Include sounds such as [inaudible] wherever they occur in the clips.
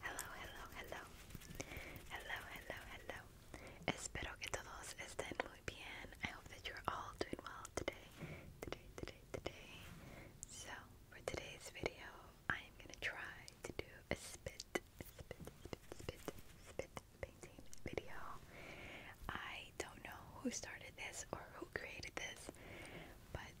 Hello, hello, hello. Hello, hello, hello. Espero que todos estén muy bien. I hope that you're all doing well today. Today, today, today. So, for today's video, I am going to try to do a spit, spit, spit, spit, spit painting video. I don't know who started this or who created this, but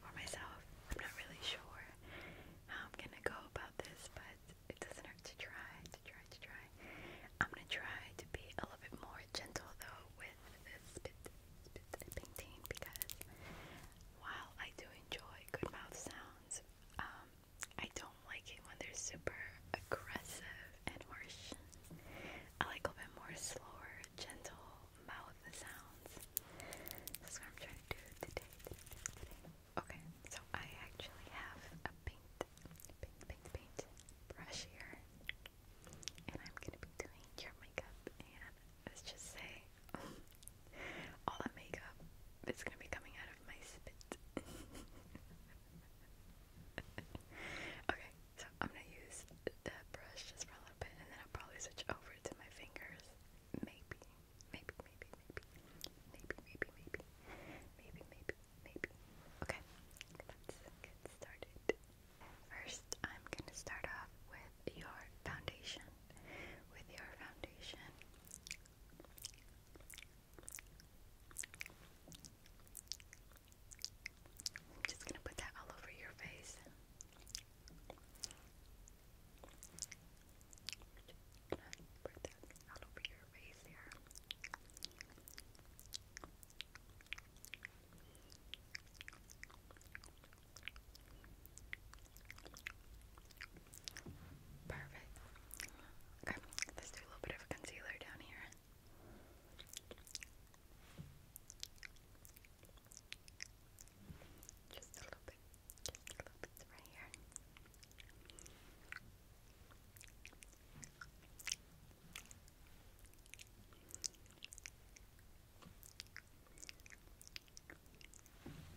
for myself. I'm not really sure how I'm gonna go about this, but it doesn't hurt to try, to try, to try. I'm gonna try to be a little bit more gentle though with this bit of painting because while I do enjoy good mouth sounds, um, I don't like it when they're super aggressive and harsh. I like a little bit more slower, gentle, mouth sounds. That's what I'm trying to do today. Okay, so I actually have a paint, paint, paint, paint brush here, and I'm gonna be doing your makeup. And let's just say, [laughs] all that makeup is gonna be coming out of my spit. [laughs] okay, so I'm gonna use the brush just for a little bit, and then I'll probably switch over to my fingers maybe, maybe, maybe, maybe, maybe, maybe, maybe, maybe, maybe, Okay, let's get started. First, I'm gonna start off with your foundation. With your foundation. I'm just gonna put that all over your face. Gonna Perfect. Okay, let's do a little bit of concealer down here. Just a little bit, just a little bit right here.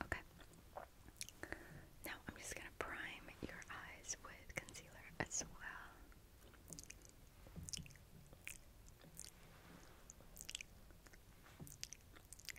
Okay. Now I'm just going to prime your eyes with concealer as well. Perfect.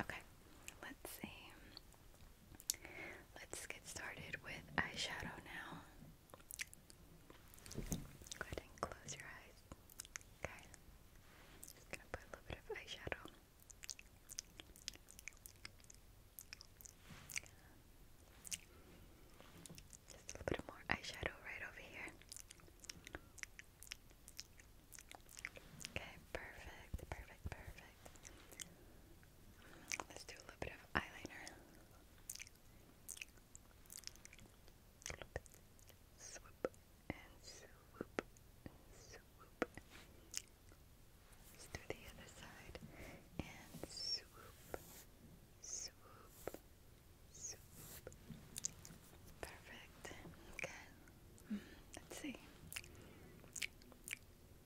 Okay, let's see. Let's get started with eyeshadow now. Go ahead and close your eyes. Okay. gonna put a little bit of eyeshadow. Just a little bit more eyeshadow right over here. Okay, perfect, perfect, perfect. Let's do a little bit of eyeliner. A and swoop and Let's do the other side and swoop, swoop, swoop. Perfect. Okay. Mm, let's see.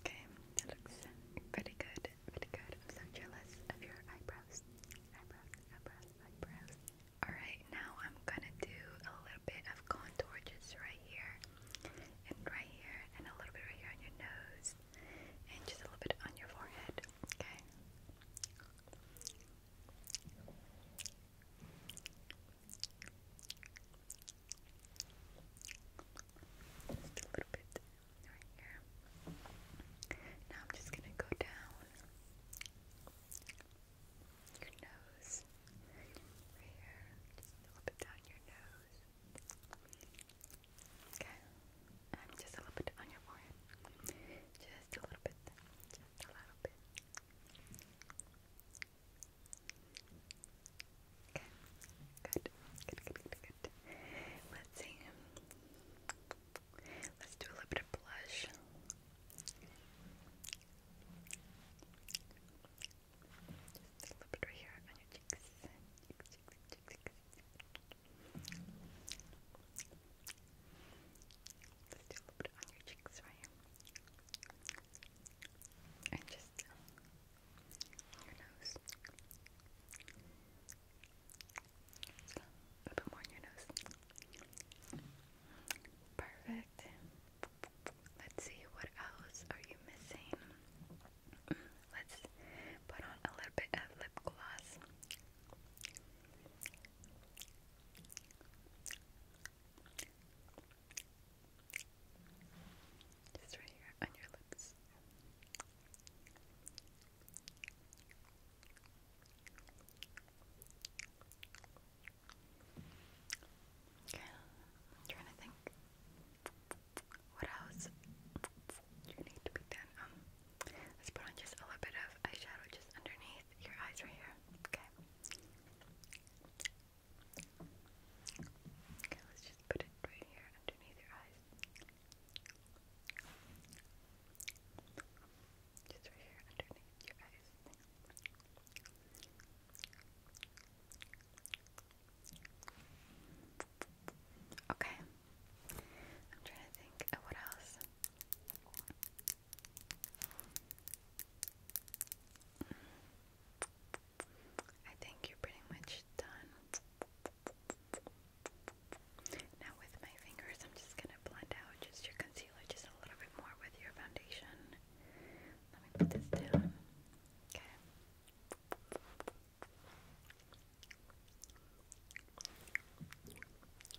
Okay, that looks pretty good, pretty good. I'm so jealous of your eyebrows. Alright, now I'm gonna do a little bit of contour just right here and right here and a little bit right here on your nose and just a little bit on your forehead. Okay. Just a little bit right here. Now I'm just gonna go down your nose. here. Just a little bit down your nose. Okay. And just a little bit on your forehead. Just a little bit. Just a little bit. Okay. Good. Good, good, good, good. Let's do a little bit of blush. Just a little bit right here on your cheeks. Let's do a little bit on your cheeks right here. And just your nose. Just a little bit more on your nose. Perfect. Let's see what else are you missing. Mm, let's put on a little bit of lip gloss. Just right here on your lips. Okay, trying to think. What else you need to be done? Um, let's put on just a little bit of eyeshadow just underneath your eyes right here. Okay. Okay, let's just put it right here underneath your eyes. Just right here underneath your eyes. Okay. I'm trying to think what else. I think you're pretty much done. Now, with my fingers, I'm just gonna blend out just your concealer just a little bit more with your foundation. Let me put this down. Okay.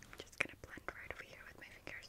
I'm just gonna blend right over here with my fingers.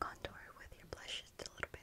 contour with your blush just a little bit.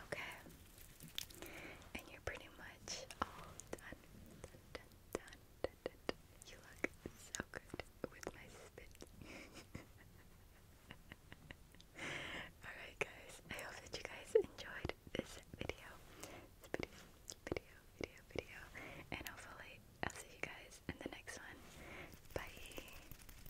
Okay. And you're pretty much all done. You look so good with my spit. [laughs] Alright guys, I hope that you guys enjoyed this video. video, video, video, video. And hopefully I'll see you guys in the next one. Bye.